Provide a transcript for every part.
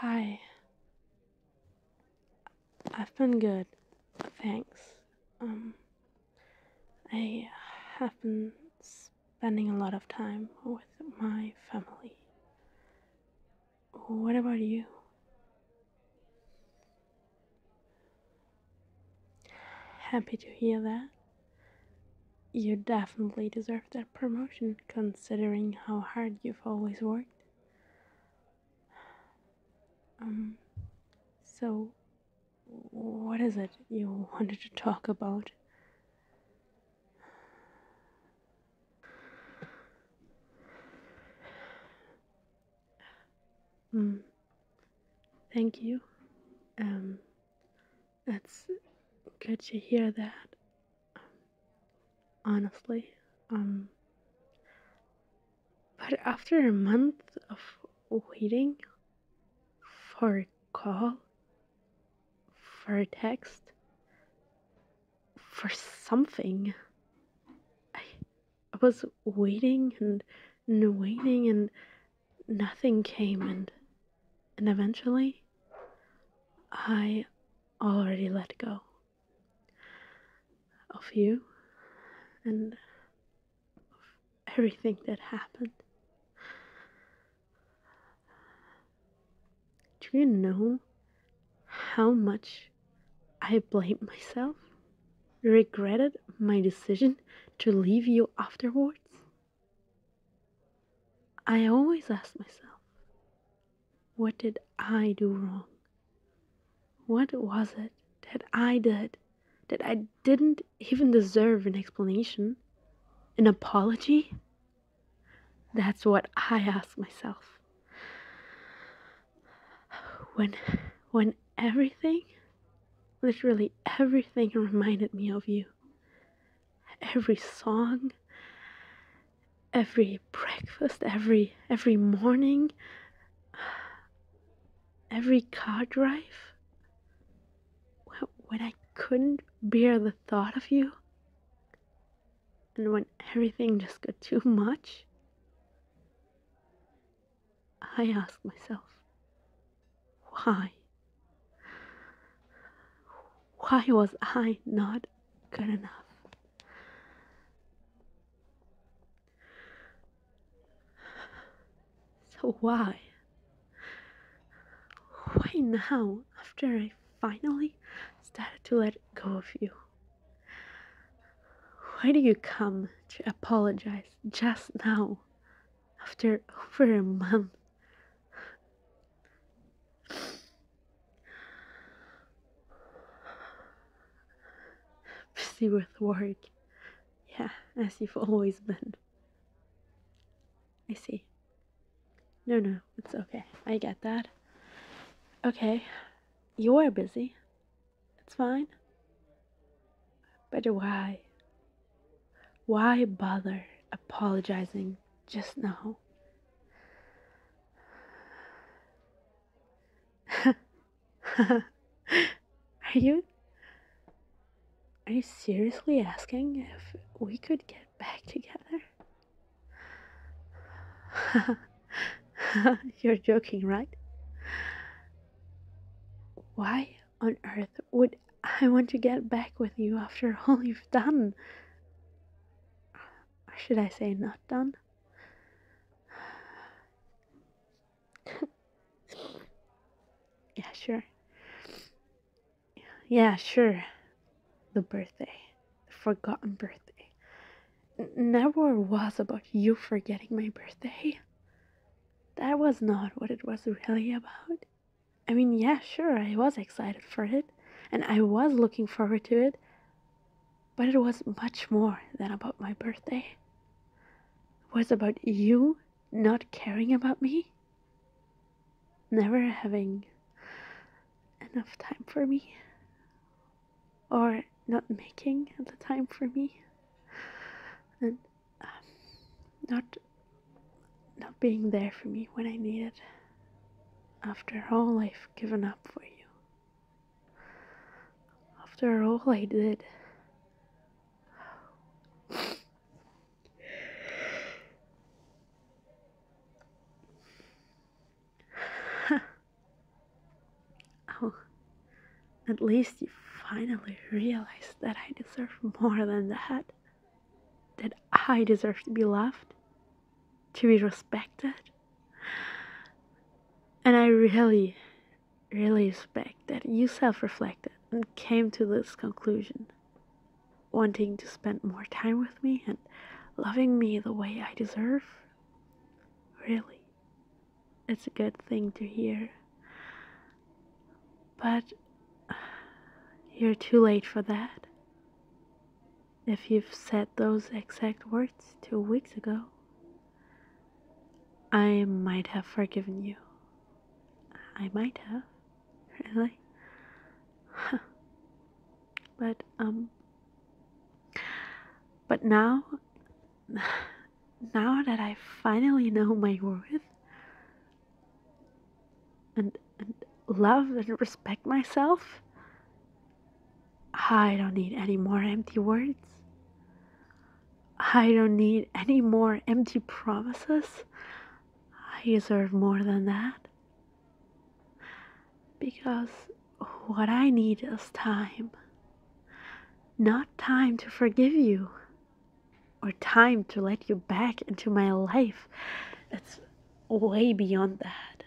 Hi. I've been good, thanks. Um, I have been spending a lot of time with my family. What about you? Happy to hear that. You definitely deserve that promotion considering how hard you've always worked. Um, so, what is it you wanted to talk about? Mm. Thank you. Um, that's good to hear that. honestly, um, but after a month of waiting for a call, for a text, for something, I, I was waiting and, and waiting and nothing came and and eventually I already let go of you and of everything that happened. Do you know how much I blamed myself? Regretted my decision to leave you afterwards? I always ask myself, what did I do wrong? What was it that I did that I didn't even deserve an explanation? An apology? That's what I ask myself. When, when everything, literally everything reminded me of you, every song, every breakfast, every every morning, every car drive. When I couldn't bear the thought of you, and when everything just got too much, I asked myself, why? Why was I not good enough? So why? Why now, after I finally started to let go of you? Why do you come to apologize just now, after over a month Busy with work. Yeah, as you've always been. I see. No, no, it's okay. I get that. Okay, you are busy. It's fine. But why? Why bother apologizing just now? Are you Are you seriously asking if we could get back together? You're joking, right? Why on earth would I want to get back with you after all you've done? should I say not done? yeah, sure. Yeah, sure. The birthday. The forgotten birthday. never was about you forgetting my birthday. That was not what it was really about. I mean, yeah, sure, I was excited for it and I was looking forward to it, but it was much more than about my birthday. It was about you not caring about me, never having enough time for me, or not making the time for me. And um, not not being there for me when I need it after all I've given up for you after all I did oh at least you finally realized that I deserve more than that that I deserve to be loved, to be respected. And I really, really respect that you self reflected and came to this conclusion, wanting to spend more time with me and loving me the way I deserve. Really, it's a good thing to hear. But you're too late for that. If you've said those exact words two weeks ago, I might have forgiven you. I might have, really. but, um, but now, now that I finally know my worth, and, love and respect myself? I don't need any more empty words. I don't need any more empty promises. I deserve more than that. Because what I need is time. Not time to forgive you, or time to let you back into my life. It's way beyond that.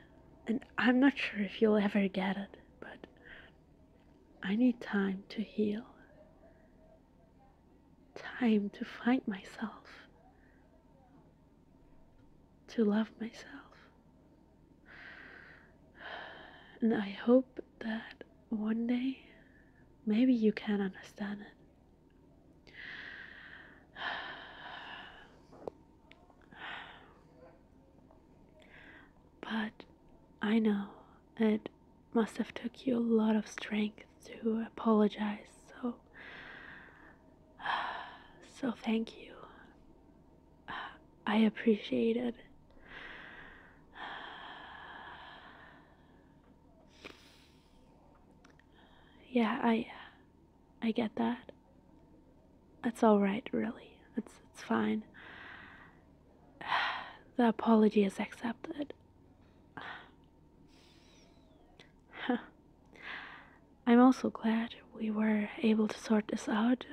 And I'm not sure if you'll ever get it, but I need time to heal. Time to find myself. To love myself. And I hope that one day maybe you can understand it. But I know it must have took you a lot of strength to apologize. So so thank you. I appreciate it yeah, I I get that. That's all right, really. That's it's fine. The apology is accepted. I'm also glad we were able to sort this out,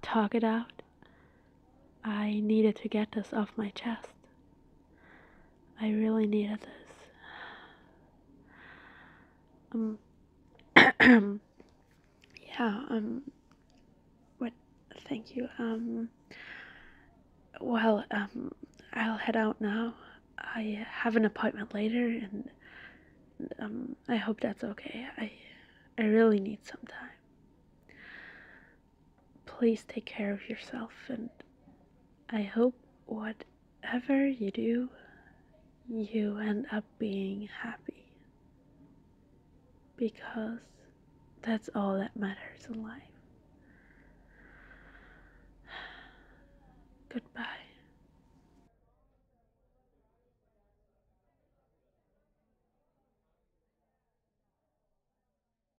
talk it out. I needed to get this off my chest. I really needed this. Um, yeah, um, what, thank you. Um, well, um, I'll head out now. I have an appointment later, and um, I hope that's okay. I, I really need some time please take care of yourself, and I hope whatever you do, you end up being happy. Because that's all that matters in life. Goodbye.